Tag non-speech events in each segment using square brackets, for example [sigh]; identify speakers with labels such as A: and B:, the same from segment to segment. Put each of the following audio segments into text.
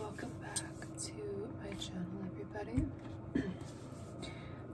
A: Welcome back to my channel, everybody.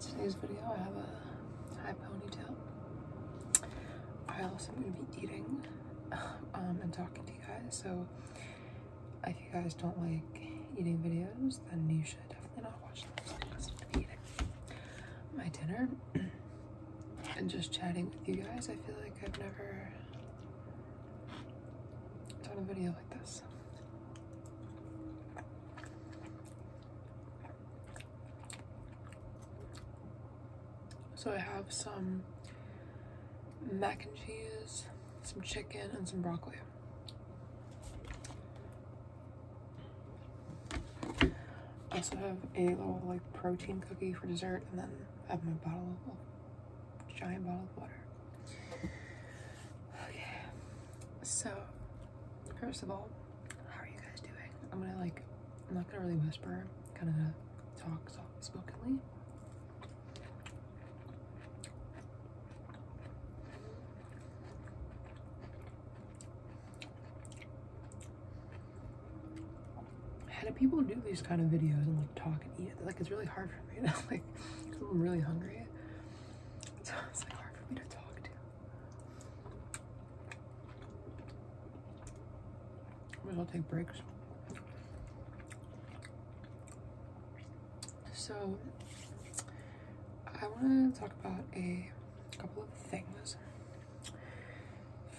A: Today's video, I have a high ponytail. I also am going to be eating um, and talking to you guys, so if you guys don't like eating videos, then you should definitely not watch this. I'm eating my dinner [clears throat] and just chatting with you guys. I feel like I've never doing a video like this. So I have some mac and cheese, some chicken, and some broccoli. I also have a little like protein cookie for dessert and then I have my bottle of giant bottle of water. Okay, so first of all, how are you guys doing? I'm gonna like, I'm not gonna really whisper, kind of talk soft spokenly how do people do these kind of videos and like talk and eat? Like it's really hard for me to [laughs] like, I'm really hungry. So it's like hard for me to talk to. I will take breaks. So I want to talk about a couple of things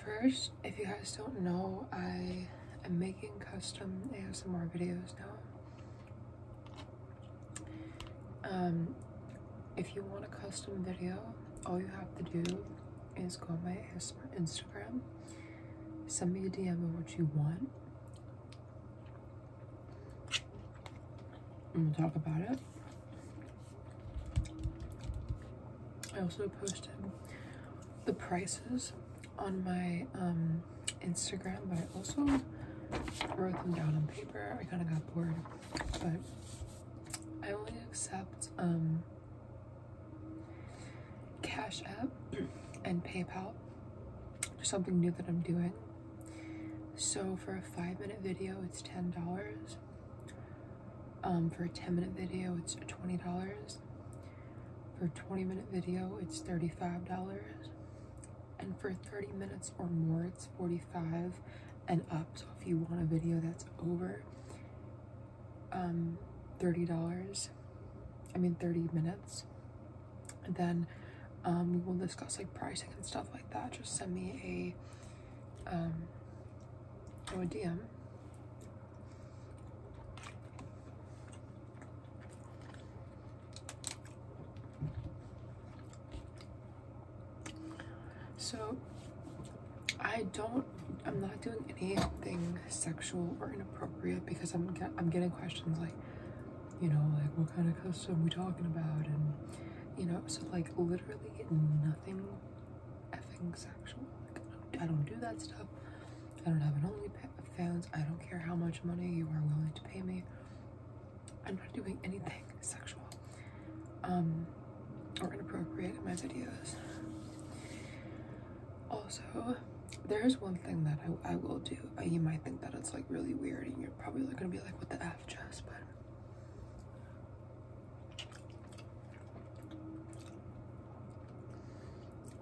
A: First, if you guys don't know, I am making custom ASMR videos now. Um, if you want a custom video, all you have to do is go on my Instagram, send me a DM of what you want, and we'll talk about it. I also posted the prices on my um, Instagram, but I also wrote them down on paper. I kind of got bored, but I only accept um, Cash App [clears throat] and PayPal. There's something new that I'm doing. So for a five minute video, it's $10. Um, for a 10 minute video, it's $20. For a 20 minute video, it's $35. And for 30 minutes or more, it's 45 dollars and up. So if you want a video that's over um, $30, I mean 30 minutes, then um, we will discuss like pricing and stuff like that. Just send me a um, Oh dear. So I don't I'm not doing anything sexual or inappropriate because I'm get, I'm getting questions like you know like what kind of costume we talking about and you know so like literally nothing effing sexual. I don't do that stuff. I don't have an only fans. I don't care how much money you are willing to pay me. I'm not doing anything sexual um, or inappropriate in my videos. Also, there is one thing that I, I will do. Uh, you might think that it's like really weird and you're probably gonna be like, what the F, just?" But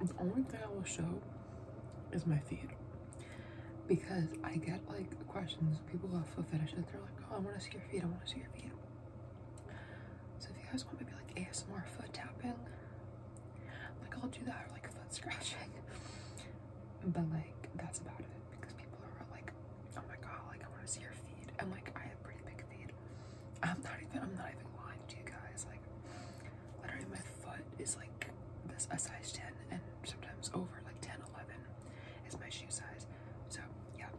A: the only thing I will show is my feet, because I get like questions. People who have foot fetishes, they're like, "Oh, I want to see your feet. I want to see your feet." So if you guys want maybe like ASMR foot tapping, like I'll do that or like foot scratching, [laughs] but like that's about it because people are like, oh my god, like I want to see your feed. And like I have pretty big feed. I'm not even I'm not even lying to you guys. Like literally my foot is like this a size 10 and sometimes over like 10, 11 is my shoe size. So yeah.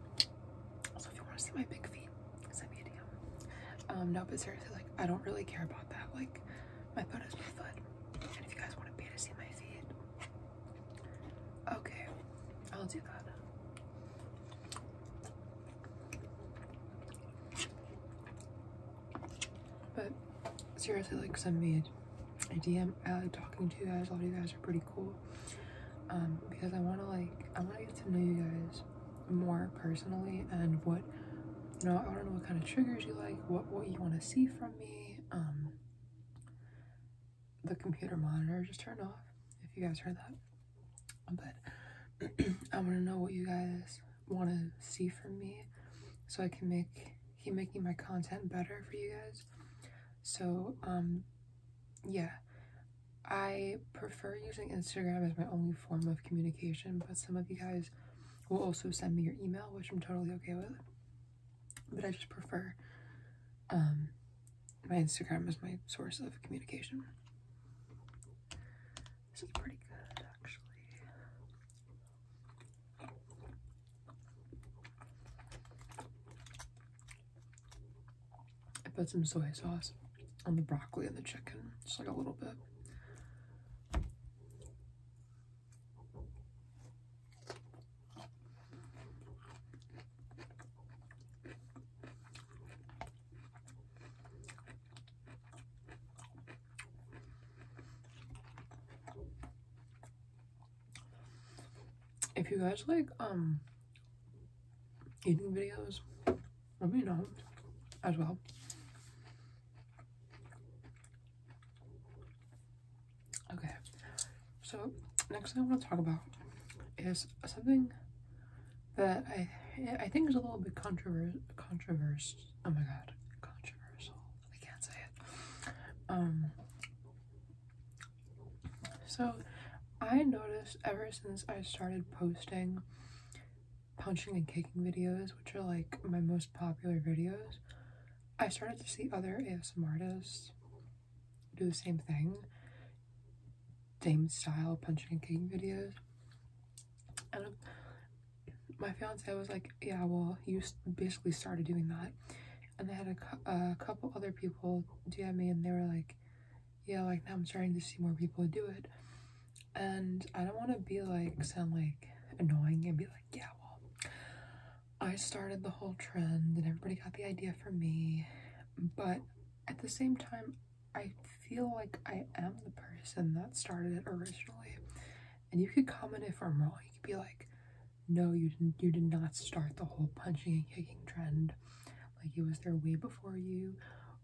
A: So if you want to see my big feet, send me a DM. Um, no, but seriously, like I don't really care about that. Like my foot is my foot. And if you guys want to pay to see my feet, Okay, I'll do that. But seriously, like some weird. a DM. I uh, like talking to you guys. A lot of you guys are pretty cool. Um, because I wanna like I wanna get to know you guys more personally and what you know, I don't know what kind of triggers you like, what what you wanna see from me. Um the computer monitor just turned off, if you guys heard that. But [clears throat] I want to know what you guys want to see from me so I can make keep making my content better for you guys. So, um, yeah. I prefer using Instagram as my only form of communication, but some of you guys will also send me your email, which I'm totally okay with but I just prefer um, my Instagram as my source of communication. This is pretty good, actually. I put some soy sauce on the broccoli and the chicken, just like a little bit. If you guys like um eating videos, let me know as well. Okay, so next thing I want to talk about is something that I I think is a little bit controversial. Controversial. Oh my god, controversial. I can't say it. Um. So, I noticed ever since I started posting punching and kicking videos, which are like my most popular videos, I started to see other ASMR artists do the same thing, same style punching and kicking videos. And my fiance was like, "Yeah, well, you basically started doing that." And they had a, a couple other people DM me, and they were like, "Yeah, like now I'm starting to see more people do it." And I don't want to be like sound like annoying and be like, "Yeah, well, I started the whole trend and everybody got the idea from me, but at the same time, I feel like I am the person that started it originally. And you could comment if I'm wrong. You could be like, no, you didn't you did not start the whole punching and kicking trend. Like it was there way before you.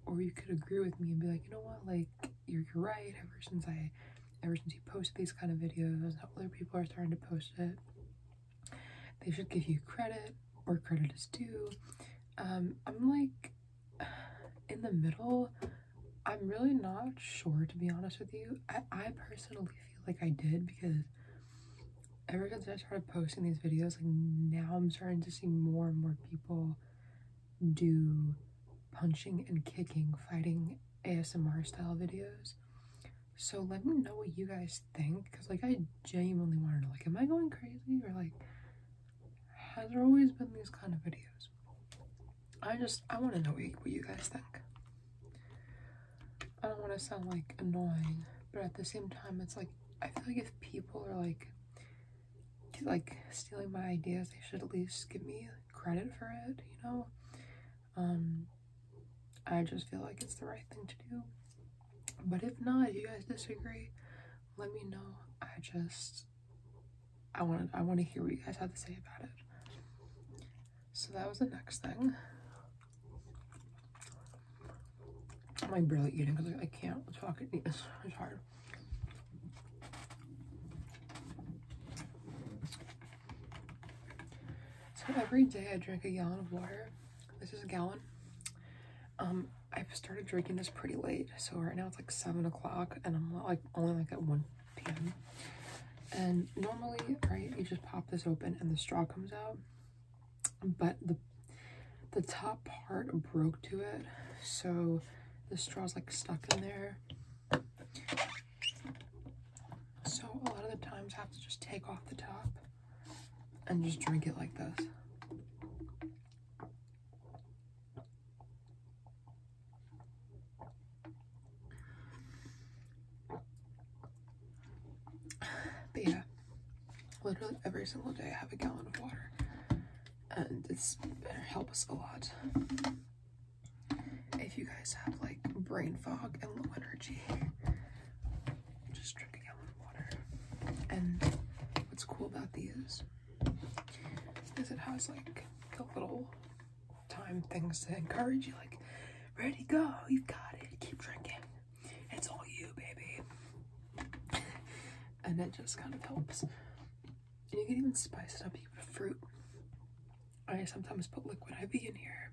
A: Or you could agree with me and be like, you know what, like you're, you're right ever since I ever since you posted these kind of videos other people are starting to post it they should give you credit where credit is due um I'm like in the middle I'm really not sure to be honest with you I, I personally feel like I did because ever since I started posting these videos like now I'm starting to see more and more people do punching and kicking, fighting ASMR style videos. So let me know what you guys think, because like I genuinely want to know, like, am I going crazy or like, has there always been these kind of videos? I just I want to know what you guys think. I don't want to sound like annoying, but at the same time, it's like I feel like if people are like like stealing my ideas, they should at least give me credit for it, you know. Um, I just feel like it's the right thing to do. But if not, you guys disagree, let me know. I just I want I want to hear what you guys have to say about it. So that was the next thing. I'm like barely eating because I, can't talk. [laughs] it's hard. So every day I drink a gallon of water. This is a gallon. Um, I started drinking this pretty late, so right now it's like seven o'clock, and I'm like only like at one p.m. And normally, right, you just pop this open and the straw comes out, but the the top part broke to it, so the is like stuck in there. So a lot of the times I have to just take off the top and just drink it like this. [sighs] But yeah, literally every single day I have a gallon of water and it's better help us a lot. If you guys have like brain fog and low energy, just drink a gallon of water. And what's cool about these is it has like the little time things to encourage you, like, ready, go, you've got it, keep drinking. It's all you, baby. and it just kind of helps and you can even spice it up with fruit. I sometimes put liquid ivy in here.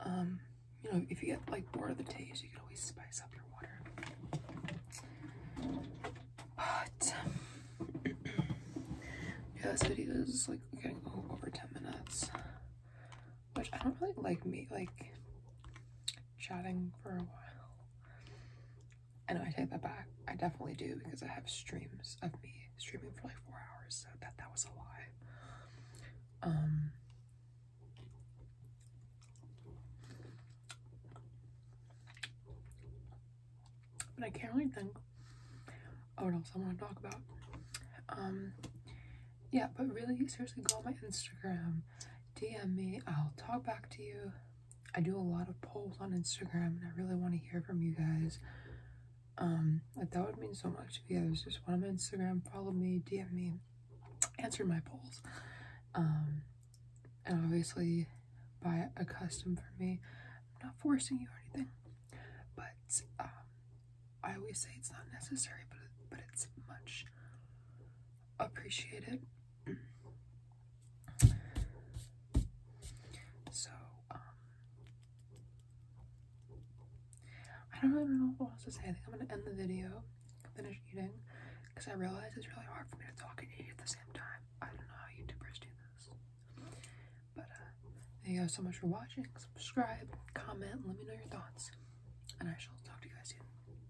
A: Um, you know, if you get like bored of the taste, you can always spice up your water. But [clears throat] yeah, this video is like getting over 10 minutes, which I don't really like me like chatting for a while. I know I take that back. I definitely do because I have streams of me streaming for like four hours, so that that was a lie. Um, but I can't really think Oh, what else I want to talk about. Um, yeah, but really, seriously, go on my Instagram, DM me, I'll talk back to you. I do a lot of polls on Instagram and I really want to hear from you guys. Um, like that would mean so much if you guys just went on Instagram, follow me, DM me, answer my polls. Um, and obviously buy a custom for me. I'm not forcing you or anything, but um, I always say it's not necessary, but, but it's much appreciate it. So, um, I don't know what else to say. I am gonna end the video, finish eating, because I realize it's really hard for me to talk and eat at the same time. I don't know how YouTubers do this. But, uh, thank you so much for watching. Subscribe, comment, let me know your thoughts, and I shall talk to you guys soon.